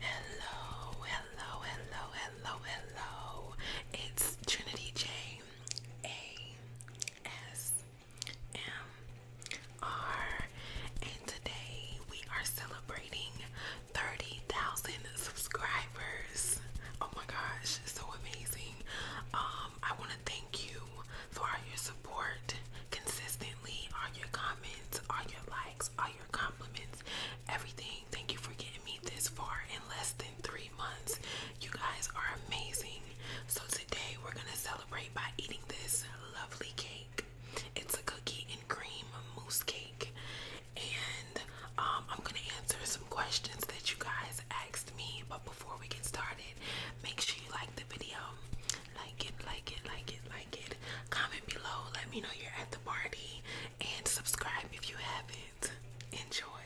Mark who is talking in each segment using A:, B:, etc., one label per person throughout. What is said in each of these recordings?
A: Hello, hello, hello, hello, hello. It's Trinity J A S M R, and today we are celebrating 30,000 subscribers. Oh my gosh, so amazing. Um, I want to thank you for all your support consistently, all your comments, all your likes, all your compliments, everything. Thank you for getting me this far in less than three months. You guys are amazing. So today we're gonna celebrate by eating this lovely cake. It's a cookie and cream moose cake and um, I'm gonna answer some questions that you guys asked me. But before we get started, make sure you like the video, like it, like it, like it, like it. Comment below, let me know you're at the party, and subscribe if you haven't. Enjoy.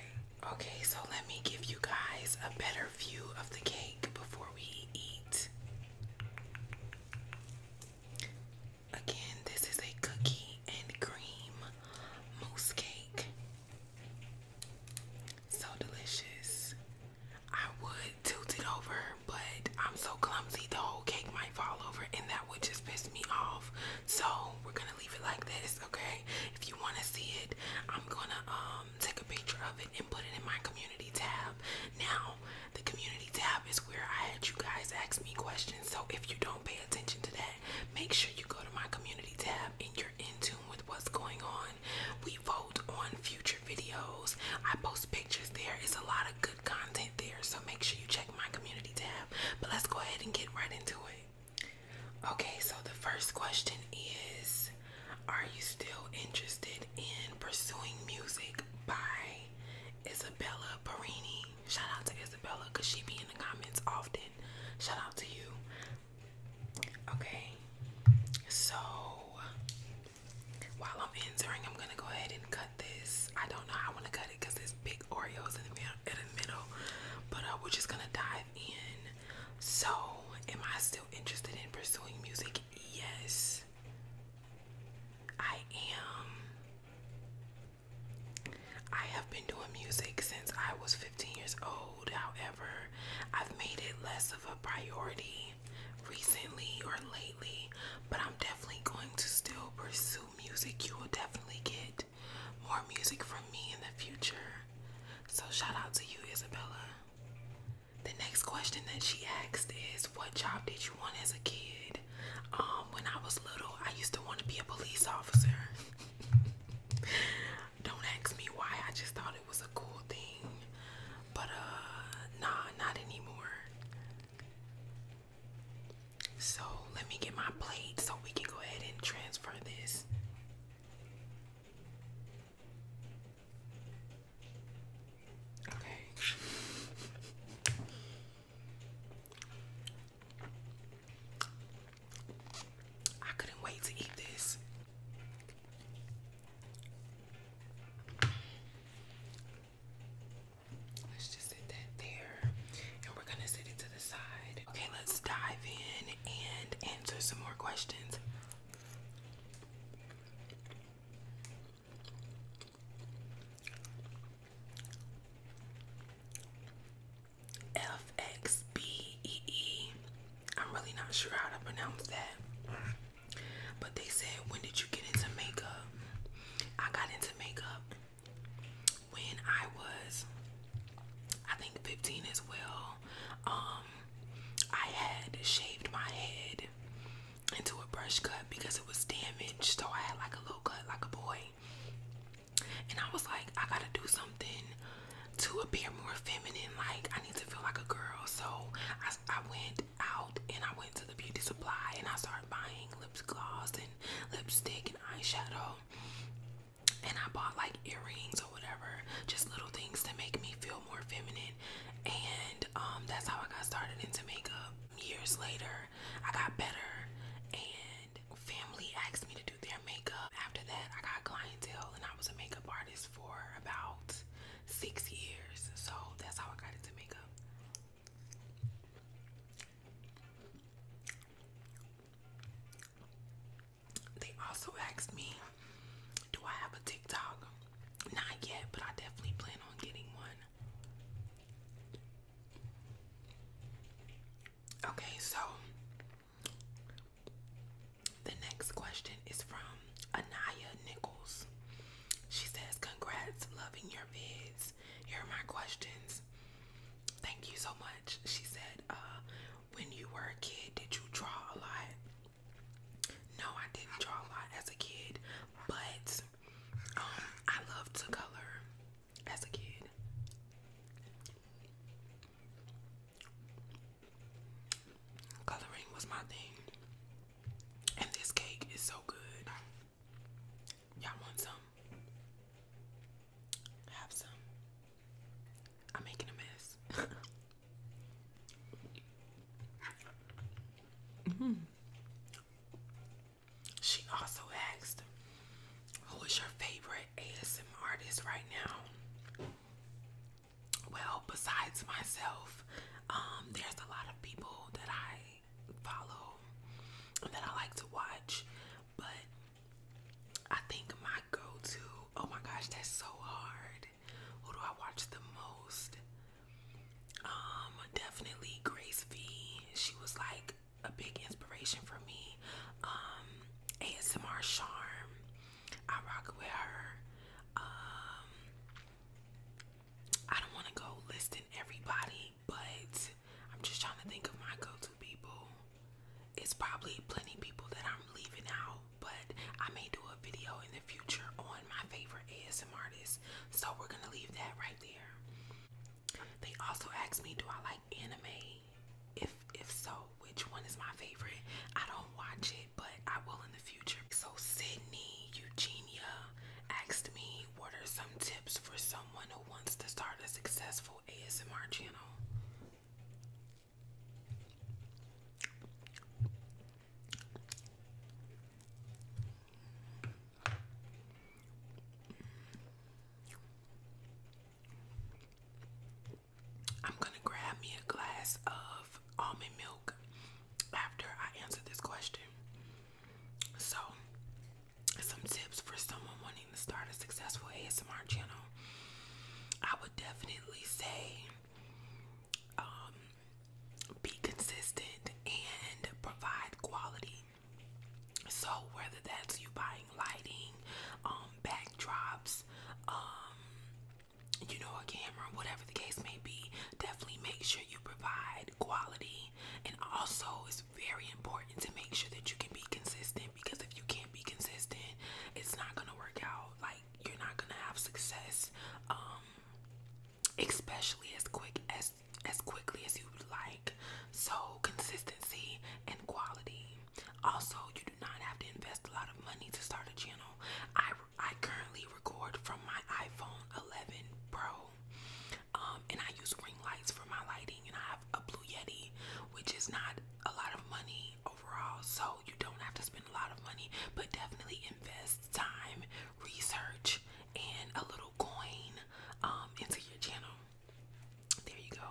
A: Okay, so let me give you guys a better view of the cake before we eat. Again, this is a cookie and cream mousse cake. So delicious. I would tilt it over, but I'm so clumsy the whole cake might fall over and that would just piss me off. So we're gonna leave it like this, okay? If you wanna see it, I'm gonna um, take a picture of it and put it in my community tab. Now the community tab is where I had you guys ask me questions so if you don't pay attention to that, make sure you go to my community tab and you're in tune with what's going on. We vote on future videos. I post pictures there. It's a lot of good content there. So make sure you check my community tab. But let's go ahead and get right into it. Okay, so the first question is Are you still interested in pursuing music by Isabella Perini? Shout out to Isabella because she be in the comments often. Shout out to you. Okay, so while I'm entering, I'm gonna go ahead and cut this. I don't know I want to cut it because there's big Oreos in the, middle, but uh, we're just gonna dive in. So, am I still interested in pursuing music? Yes, I am. I have been doing music since I was 15 years old. However, I've made it less of a priority recently or lately, but I'm definitely going to still pursue music. You will definitely get more music from me in the future. So, shout out to you, Isabella. The next question that she asked is What job did you want as a kid? Um, when I was little, I used to want to be a police officer. Don't ask me why, I just thought it was a cool thing. But uh, nah, not anymore. So let me get my plate so we can go ahead and transfer this. Okay. I couldn't wait to eat this. Let's just sit that there and we're gonna sit it to the side. Okay, let's dive in and answer some more questions i E E. I'm really not sure how to pronounce that. But they said, When did you get into makeup? I got into makeup when I was, I think, 15 as well. Um, I had shaved my head into a brush cut because it was damaged, so I had like a little cut, like a boy. And I was like, I gotta do something to appear more feminine. Like, I need to feel like a girl. So I, went out and I went to the beauty supply and I started buying lip gloss and lipstick and eyeshadow. And I bought like earrings or whatever, just little things to make me feel more feminine. And um, that's how I got started into makeup. Years later, I got better and family asked me to do their makeup. After that, I got clientele and I was a makeup artist for about six years. So that's how I got into makeup. They also asked me, do I have a TikTok? Not yet, but I definitely plan on getting one. Okay, so the next question is from Anaya Nichols. She says, Congrats, loving your vids. Here are my questions. Thank you so much. She said, uh, When you were a kid, did you draw a lot? No, I didn't draw a lot as a kid, but um, I love to color as a kid. Coloring was my thing. And this cake is so good. Y'all want some? Have some. I'm making a mess. -hmm. She also asked, Who is your favorite ASM artist right now? Well, besides myself, um, there's a lot of people that I follow that I like to watch, but I think my go to, oh my gosh, that's so hard. Who do I watch the most? Um, definitely Grace V. She was like a big inspiration for me. Um, ASMR Charm, I rock with her. Um, I don't want to go listing everybody, but I'm just trying to think of my go-to people. It's probably plenty people that I'm leaving out, but I may do a video in the future on my favorite ASMR artists. So we're gonna leave that right there. They also asked me, do I like anime? If if so, which one is my favorite? I don't watch it, but I will in the future. So Sydney Eugenia asked me, what are some tips for someone who wants to start a successful ASMR channel? I'm gonna grab me a glass of almond milk after I answer this question. So, some tips for someone wanting to start a successful ASMR channel. I would definitely say um, be consistent and provide quality so whether that's you buying lighting, um, backdrops, um, you know, a camera, whatever the case may be, definitely make sure you provide quality. And also, it's very important to make sure that you can be consistent because if you can't be consistent, it's not gonna work out. Like you're not gonna have success, um, especially as quick as as quickly as you would like. So, consistency and quality. Also, you do not have to invest a lot of money to start a channel. I, I currently record from my iPhone 11 Pro, um, and I use ring lights for my lighting, and I have a Blue Yeti, which is not a lot of money overall. So, you don't have to spend a lot of money, but definitely invest time, research, and a little coin um, into your channel there you go.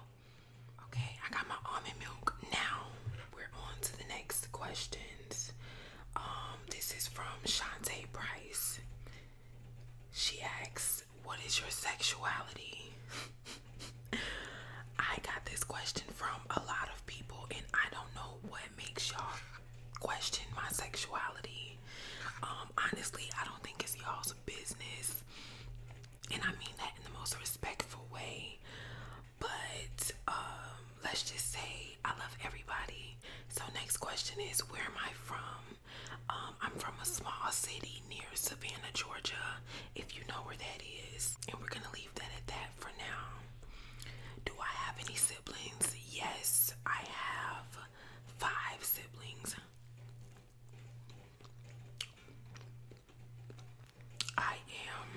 A: Okay, I got my almond milk. Now we're on to the next questions. Um, this is from Shantae Price. She asks, What is your sexuality? I got this question from a lot of people, and I don't know what makes y'all question my sexuality. Um, honestly, I don't think it's y'all's business, and I mean that in the most respectful way. But um, let's just say I love everybody. So next question is, where am I from? Um, I'm from a small city near Savannah, Georgia. If you know where that is, and we're gonna leave that at that for now. Do I have any siblings? Yes, I have five siblings. I am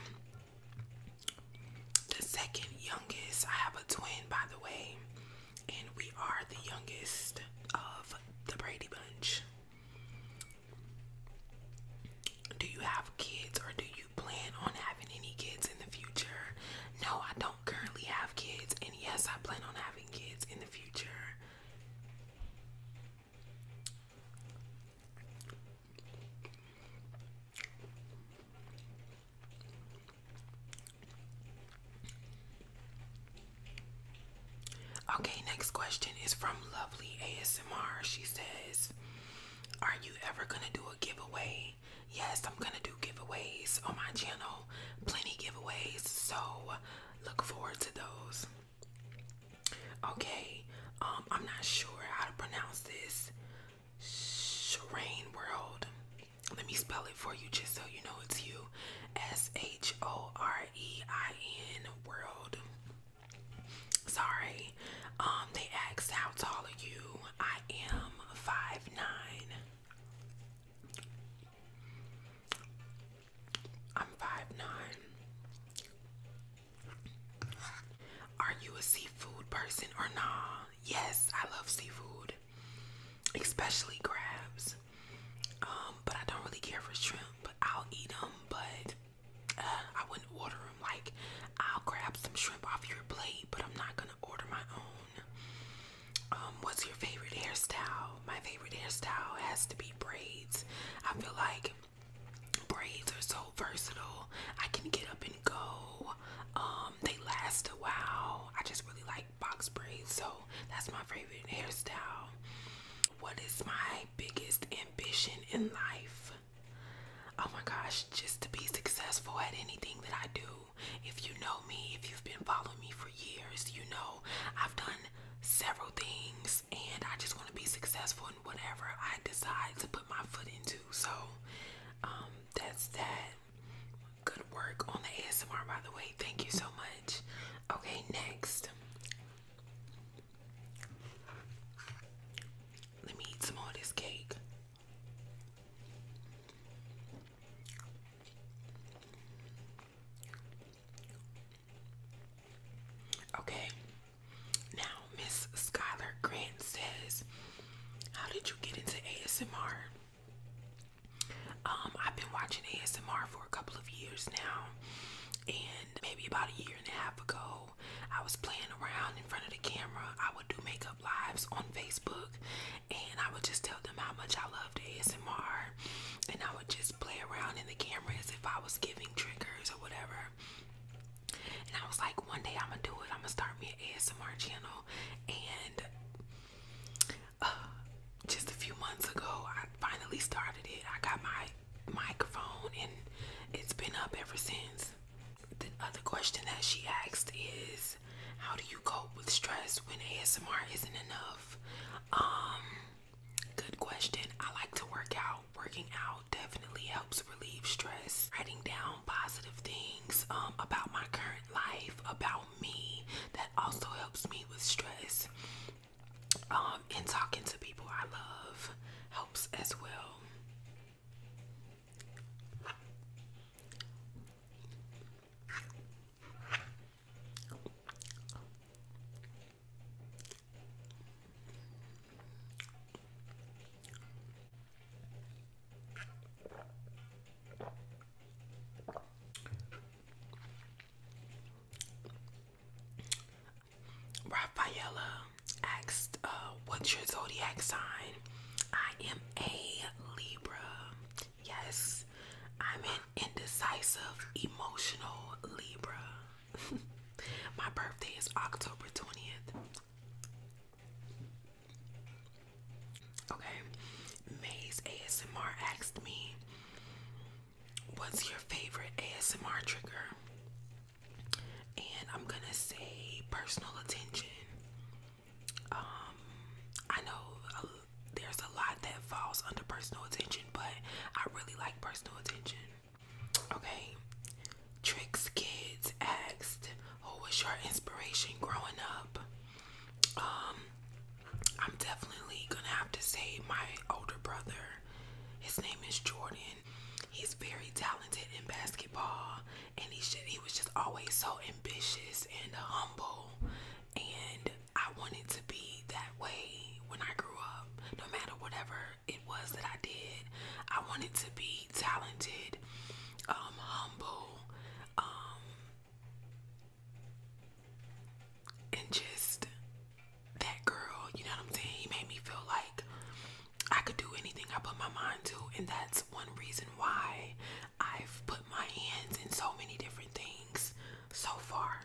A: the second youngest. I have a twin, by the way, and we are the youngest of the Brady Bunch. Do you have kids or do you plan on having any kids in the future? No, I don't currently have kids, and yes, I plan on having kids in Okay, next question is from Lovely ASMR. She says, Are you ever gonna do a giveaway? Yes, I'm gonna do giveaways on my channel plenty giveaways, so look forward to those. Okay, um, I'm not sure how to pronounce this. Shireen World. Let me spell it for you just so you know it's you. S H O R E I N World. Sorry. Um, they asked how tall are you? I am five nine. I'm five nine. Are you a seafood person or nah? Yes, I love seafood, especially crabs. Um, but I don't really care for shrimp. But I'll eat them. But uh, I wouldn't order them. Like I'll grab some shrimp off your plate, but I'm not gonna order my own. Um, what's your favorite hairstyle? My favorite hairstyle has to be braids. I feel like braids are so versatile. I can get up and go. Um, they last a while. I just really like box braids, so that's my favorite hairstyle. What is my biggest ambition in life? Oh my gosh, just to be successful at anything that I do. If you know me, if you've been following me for years, you know I've done several things and I just want to be successful in whatever I decide to put my foot into. So, um, that's that. Good work on the ASMR, by the way. Thank you so much. Okay, next. Let me eat some more of this cake. Okay. Now, Miss Skylar Grant says, How did you get into ASMR? Um, I've been watching ASMR for a couple of years now, and maybe about a year and a half ago, I was playing around in front of the camera. I would do makeup lives on Facebook, and I would just tell them how much I loved ASMR and I would just play around in the cameras if I was giving triggers or whatever. And I was like, one day I'm gonna do it. I'm gonna start me an ASMR channel. And uh, just a few months ago, I finally started it. I got my microphone and it's been up ever since. The other question that she asked is, How do you cope with stress when ASMR isn't enough? Um, good question. I like to work out. Working out definitely helps relieve stress. Writing down positive things um, about my current life, about me, that also helps me with stress. Um, and talking to people I love helps as well. Rafaela asked, uh, what's your zodiac sign? I am a Libra. Yes, I'm an indecisive, emotional Libra. My birthday is October 20th. Okay, Maze ASMR asked me, What's your favorite ASMR trigger? And I'm gonna say personal attention. Um, I know there's a lot that falls under personal attention, but I really like personal attention. Okay, Tricks Kids asked, Who was your inspiration growing up? Um, I'm definitely gonna have to say my older brother. His name is Jordan. He's very talented in basketball, and he should, he was just always so ambitious and humble and I wanted to be that way when I grew up. No matter whatever it was that I did, I wanted to be talented, um, humble, um, and just that girl. You know what I'm saying? He made me feel like I could do anything I put my mind to, and that's one reason why I've put my hands in so many different things so far.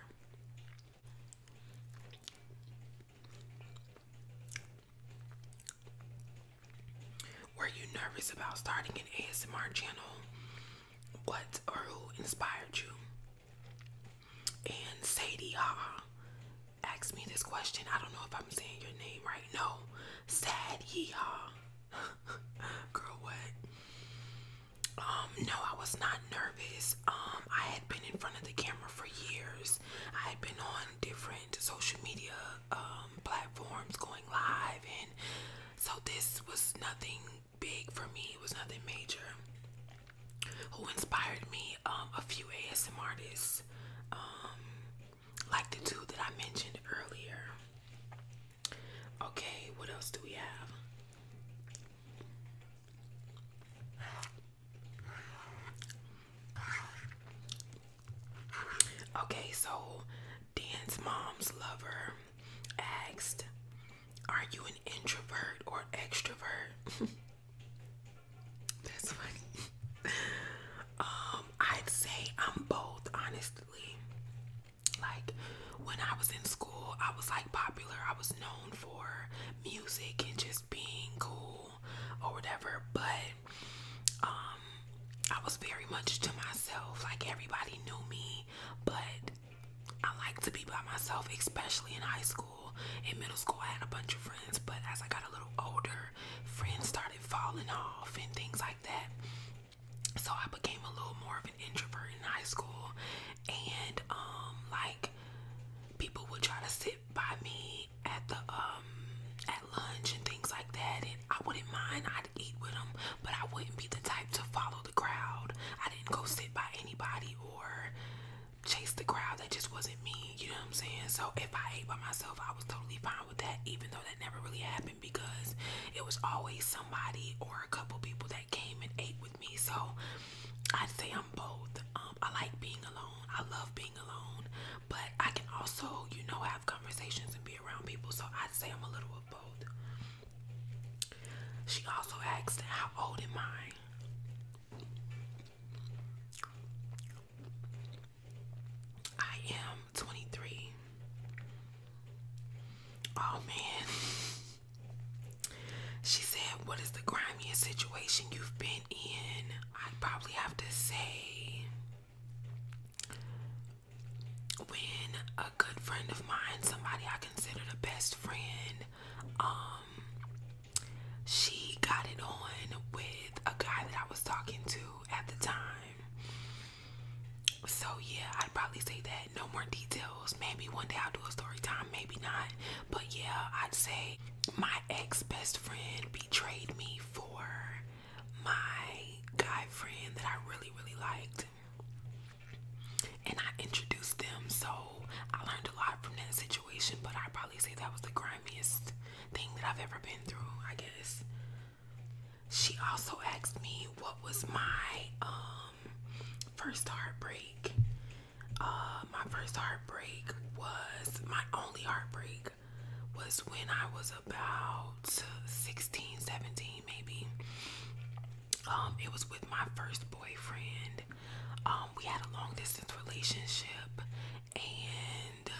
A: Were you nervous about starting an ASMR channel? What or who inspired you? And Sadie asked me this question. I don't know if I'm saying your name right. No, Sad Girl, what? Um, no, I was not nervous. Um, I had been in front of the camera for years. I had been on different social media um, platforms going live, and so this was nothing big for me. It was nothing major. Who inspired me? a few ASMR artists, like the two that I mentioned earlier. Okay, what else do we have? Okay, so Dan's mom's lover asked, Are you an introvert or extrovert? um, I'd say I'm both, honestly. Like when I was in school, I was like popular. I was known for music and just being cool or whatever, but um I was very much to myself. Like everybody knew me, but I like to be by myself, especially in high school. In middle school, I had a bunch of friends, but as I got a little older, friends started falling off and things like that so I became a little more of an introvert in high school, and um, like people would try to sit by me at the um at lunch and things like that, and I wouldn't mind. I'd eat with them, but I wouldn't be the type to follow the crowd. I didn't go sit by anybody or chase the crowd. That just wasn't me. You know what I'm saying? So if I ate by myself, I was totally fine with that, even though that never really happened because it was always somebody or a couple people that came and ate with me. So I'd say I'm both. Um, I like being alone. I love being alone, but I can also, you know, have conversations and be around people. So I'd say I'm a little of both. She also asked, How old am I? I am 23. Oh man. She said, What is the grimiest situation you've been in? I probably have to say, when a good friend of mine, somebody I consider the best friend, um, she got it on with a guy that I was talking to at the time. So yeah, I'd probably say that. No more details. Maybe one day I'll do a story time, maybe not. But yeah, I'd say my ex best friend betrayed me for my guy friend that I really, really liked. And I introduced them, so I learned a lot from that situation. But I'd probably say that was the grimiest thing that I've ever been through, I guess. She also asked me what was my um, um, first heartbreak. Uh, my first heartbreak was my only heartbreak was when I was about 16, 17 maybe. Um, it was with my first boyfriend. Um, we had a long distance relationship and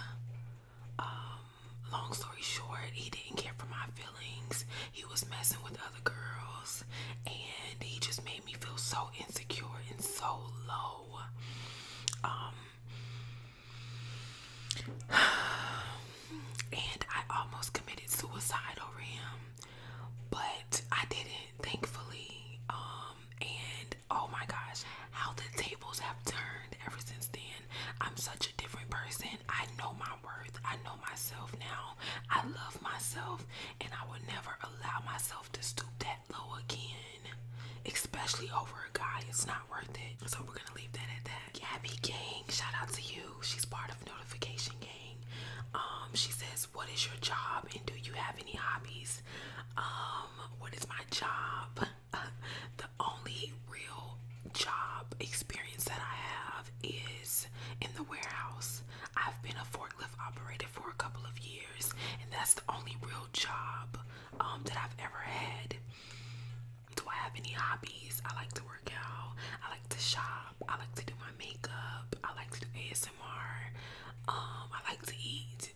A: long story short, he didn't care for my feelings he was messing with other girls and he just made me feel so insecure and so low um, and I almost committed suicide over him but I didn't thankfully um, and oh my gosh how the tables have turned ever since then I'm such a different person I know my worth I know myself now I love myself and I would never allow myself to stoop that low again, especially over a guy. It's not worth it. So we're gonna leave that at that. Gabby Gang, shout out to you. She's part of Notification Gang. Um, she says, What is your job and do you have any hobbies? Um, what is my job? the only real job experience that I have is in the warehouse. I've been a forklift operator for a couple of years, and that's the only real job um, that I've ever had. Do I have any hobbies? I like to work out. I like to shop. I like to do my makeup. I like to do ASMR. Um, I like to eat.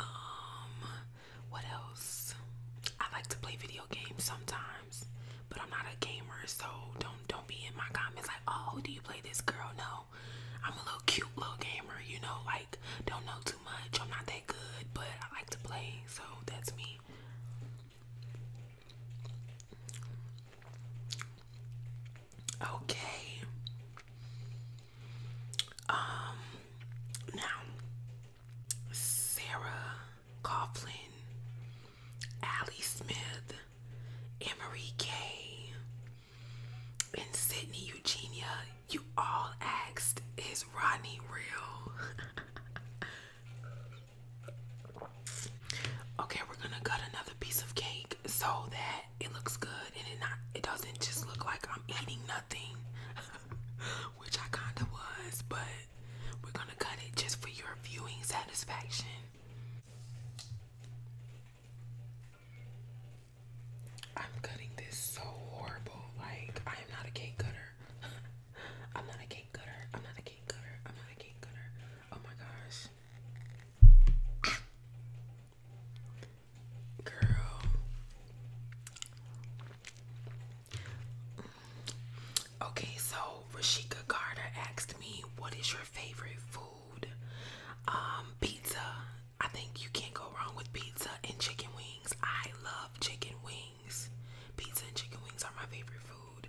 A: Um, what else? I like to play video games sometimes but I'm not a gamer, so don't don't be in my comments like, oh, do you play this girl? No, I'm a little cute little gamer, you know, like don't know too much. I'm not that good, but I like to play, so that's me. Okay. Um now Sarah Coughlin, Allie Smith, Emery Kay, and Sydney Eugenia, you all asked, is Rodney real? okay, we're gonna cut another piece of cake so that it looks good and it not it doesn't just look like I'm eating nothing. Which I kinda was, but we're gonna cut it just for your viewing satisfaction. I'm cutting this so horrible. Like, I am not a cake cutter. I'm not a cake cutter. I'm not a cake cutter. I'm not a cake cutter. Oh my gosh. Girl. Okay, so Rashika Carter asked me, "What is your favorite food?" Um, pizza. I think you can't go wrong with pizza and chicken wings. I love chicken wings. Pizza and chicken wings are my favorite food.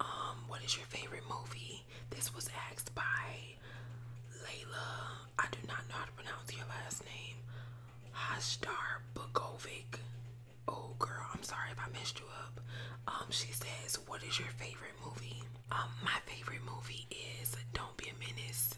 A: Um, what is your favorite movie? This was asked by Layla. I do not know how to pronounce your last name. Hashdar Bukovic. Oh girl, I'm sorry if I messed you up. Um, she says, What is your favorite movie? Um, my favorite movie is Don't Be a Menace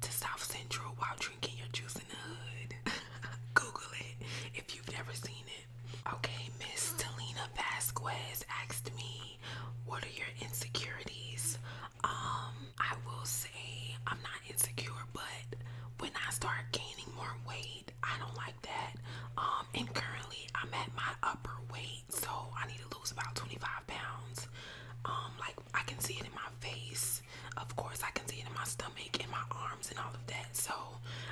A: to South Central while drinking your juice in the hood. Google it if you've never seen it. Okay, Miss Talina Vasquez asked me, What are your insecurities? Um, I will say I'm not insecure, but when I start gaining more weight, I don't like that. Um, and currently I'm at my upper weight, so I need to lose about 25 pounds. Um, like I can see it in my face, of course, I can see it in my stomach, in my arms, and all of that. So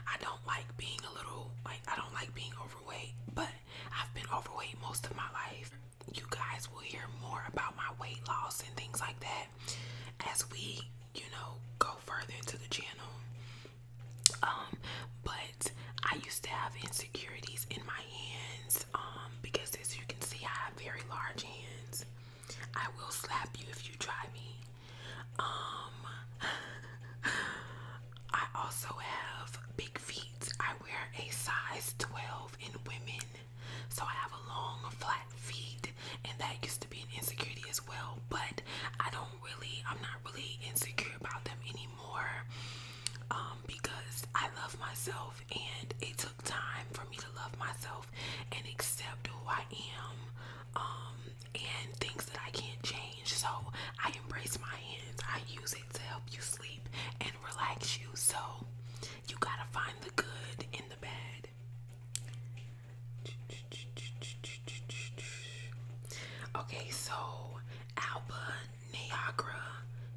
A: I don't like being a little like I don't like being overweight, but I've been overweight most of my life. You guys will hear more about my weight loss and things like that as we, you know, go further into the channel. Um, but I used to have insecurities in my hands. Um, because as you can see, I have very large hands. I will slap you if you try me. Um, I also have big feet. I wear a size 12 in women, so I have a long, flat feet, and that used to be an insecurity as well. But I don't really I'm not really insecure about them anymore um, because I love myself and it took time for me to love myself and accept who I am um, and things that I can't change so I embrace my hands I use it to help you sleep and relax you so you gotta find the good in the bad Okay, so Alba Niagara,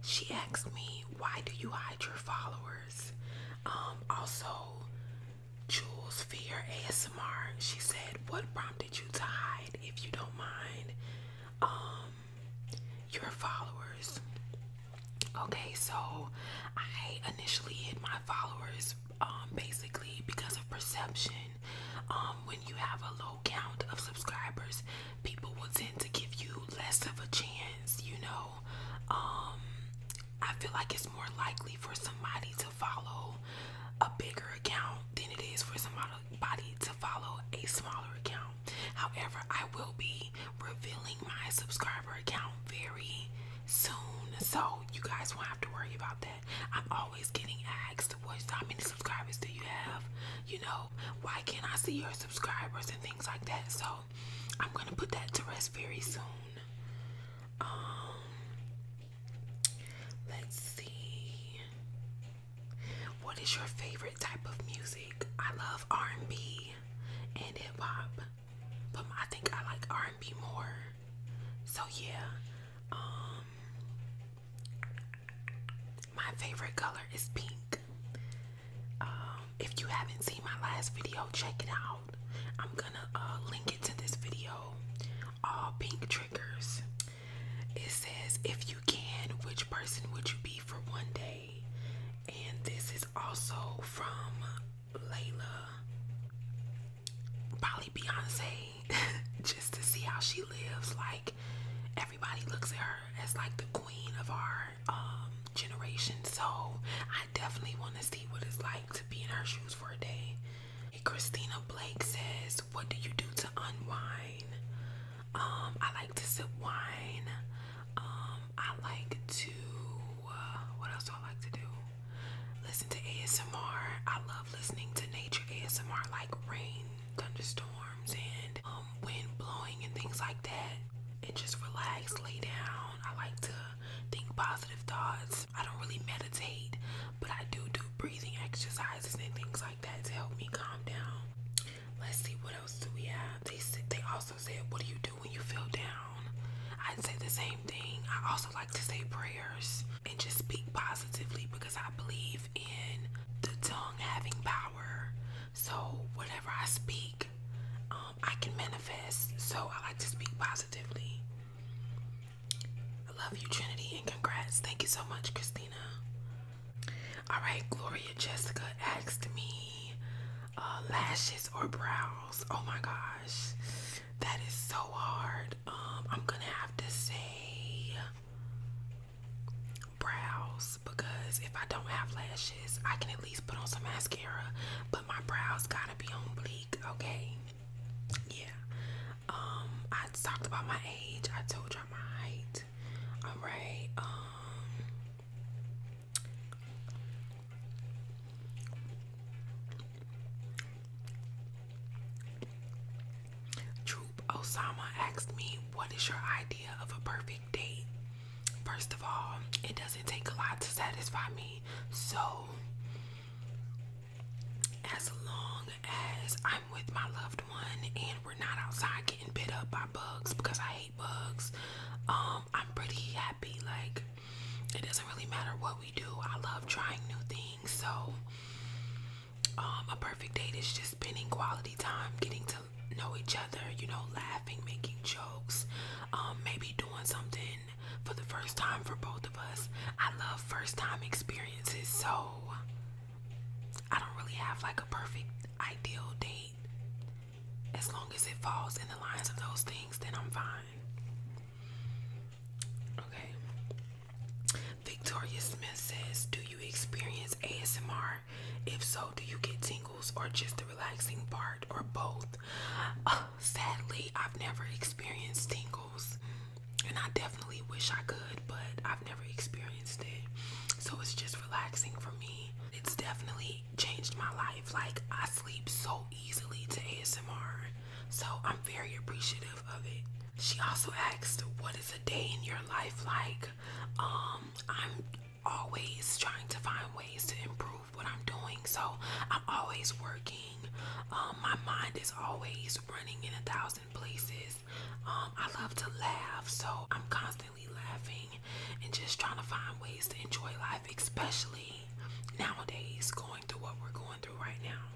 A: she asked me, why do you hide your followers? Um, also, Jules Fear ASMR, she said, what prompted you to hide, if you don't mind, um, your followers? Okay, so I initially hid my followers um, basically because of perception. Um, when you have a low count of subscribers, people will tend to give you less of a chance, you know. Um, I feel like it's more likely for somebody to follow a bigger account than it is for somebody to follow a smaller account. However, I will be revealing my subscriber account very soon, so you guys won't have to worry about that. I'm always getting asked, what, how many subscribers do you have? You know, why can't I see your subscribers and things like that? So I'm gonna put that to rest very soon. Um, let's see. What is your favorite type of music? I love R&B and hip hop, but I think I like R&B more. So yeah, um, my favorite color is pink. Um, if you haven't seen my last video, check it out. I'm gonna uh, link it to this video. All pink triggers. It says, if you can, which person would you be for one day? And this is also from Layla probably Beyonce just to see how she lives. Like everybody looks at her as like the queen of our um, generation. So I definitely want to see what it's like to be in her shoes for a day. Hey, Christina Blake says, "What do you do to unwind?" Um, I like to sip wine. Um, I like to. Uh, what else do I like to do? Listen to ASMR. I love listening to nature ASMR like rain, thunderstorms, and um, wind blowing and things like that. And just relax, lay down. I like to think positive thoughts. I don't really meditate, but I do do breathing exercises and things like that to help me calm down. Let's see what else do we have. They they also said, "What do you do when you feel down?" I'd say the same thing. I also like to say prayers and just speak positively because I believe in the tongue having power. So, whatever I speak, um, I can manifest. So, I like to speak positively. I love you, Trinity, and congrats. Thank you so much, Christina. All right, Gloria Jessica asked me uh, lashes or brows. Oh my gosh, that is so hard. Um, I'm gonna have to say brows because if I don't have lashes, I can at least put on some mascara, but my brows gotta be on bleak, okay? Yeah. Um, I talked about my age, I told y'all my height. Alright, um Troop Osama asked me, What is your idea of a perfect date? First of all, it doesn't take a lot to satisfy me. So, as long as I'm with my loved one and we're not outside getting bit up by bugs because I hate bugs, um, I'm pretty happy. Like, it doesn't really matter what we do. I love trying new things. So, um, a perfect date is just spending quality time, getting to know each other, you know, laughing, making jokes, um, maybe doing something for the first time for both of us. I love first time experiences, so I don't really have like a perfect ideal date. As long as it falls in the lines of those things, then I'm fine. Okay. Victoria Smith says, Do you experience ASMR? If so, do you get tingles or just the relaxing part or both? Uh, sadly, I've never experienced tingles. And I definitely wish I could, but I've never experienced it. So it's just relaxing for me. It's definitely changed my life. Like, I sleep so easily to ASMR. So I'm very appreciative of it. She also asked, What is a day in your life like? Um, I'm always trying to find ways to improve what I'm doing. So I'm always working. Um, my mind is always running in a thousand places. Um, I love to laugh, so I'm constantly laughing and just trying to find ways to enjoy life, especially nowadays, going through what we're going through right now.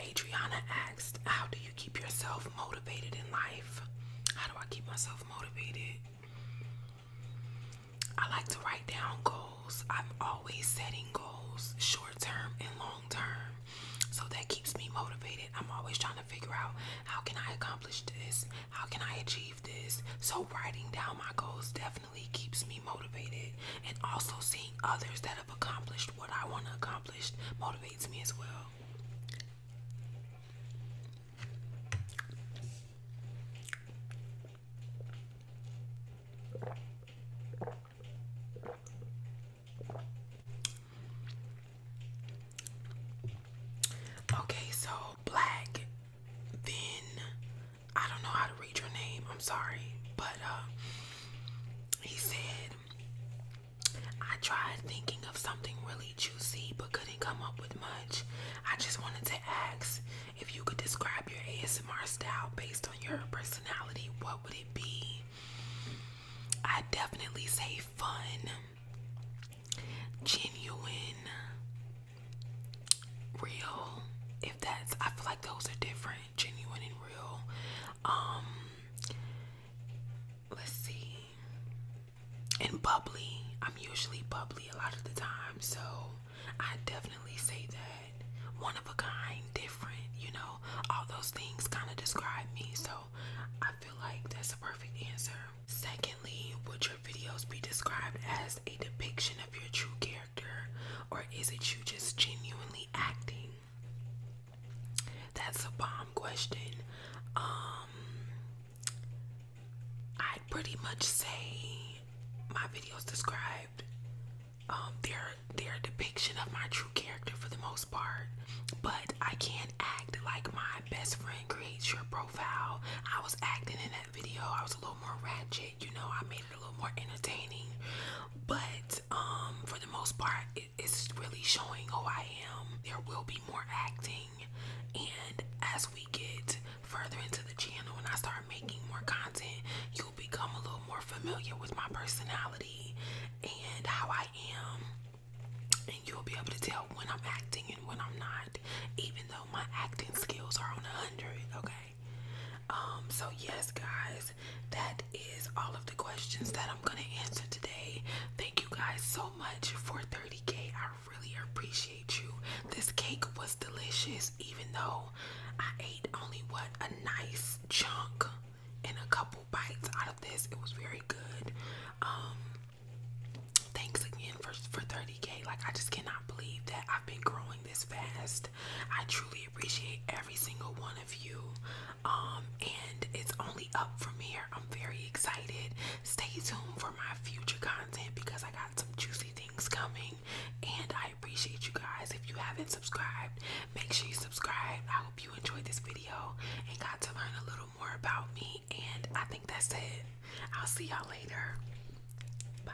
A: Adriana asked, How do you keep yourself motivated in life? How do I keep myself motivated? I like to write down goals. I'm always setting goals, short term and long term. So that keeps me motivated. I'm always trying to figure out how can I accomplish this? How can I achieve this? So writing down my goals definitely definitely keeps me motivated and also seeing others that have accomplished what I want to accomplish motivates me as well. Okay, so black, then I don't know how to read your name. I'm sorry, but uh, he said I tried thinking of something really juicy, but couldn't come up with much. I just wanted to ask if you could describe your ASMR style based on your personality. What would it be? I definitely say fun, genuine, real. If that's, I feel like those are different and genuine and real. Um, let's see, and bubbly. I'm usually bubbly a lot of the time, so I definitely say that one of a kind, different. You know, all those things kind of describe me, so I feel like that's a perfect answer. Secondly, would your videos be described as a depiction of your true character? or is it you just genuinely acting? That's a bomb question. Um, I'd pretty much say my videos described um, their their depiction of my true character for the most part. But I can't act like my best friend creates your profile. I was acting in that video. I was a little more ratchet you know, I made it a little more entertaining. But um, for the most part, it's really showing who I am. There will be more acting, and as we get further into the channel and I start making more content, you'll become a little more familiar with my personality and how I am. And you'll be able to tell when I'm acting and when I'm not, even though my acting skills are on a hundred. Okay, um, so yes, guys, that is all of the questions that I'm gonna answer today. Thank you guys so much for 30k. I really appreciate you. This cake was delicious, even though I ate only what a nice chunk and a couple bites out of this. It was very good. Um, thanks again for for 30k. Like I just cannot believe that I've been growing this fast. I truly appreciate every single one of you. Um, and it's only up from here. I'm very excited. Stay tuned for my future content because I got some juicy things coming. And I appreciate you guys. If you haven't subscribed, make sure you subscribe. I hope you enjoyed this video and got to learn a little more about me. And I think that's it. I'll see y'all later. Bye.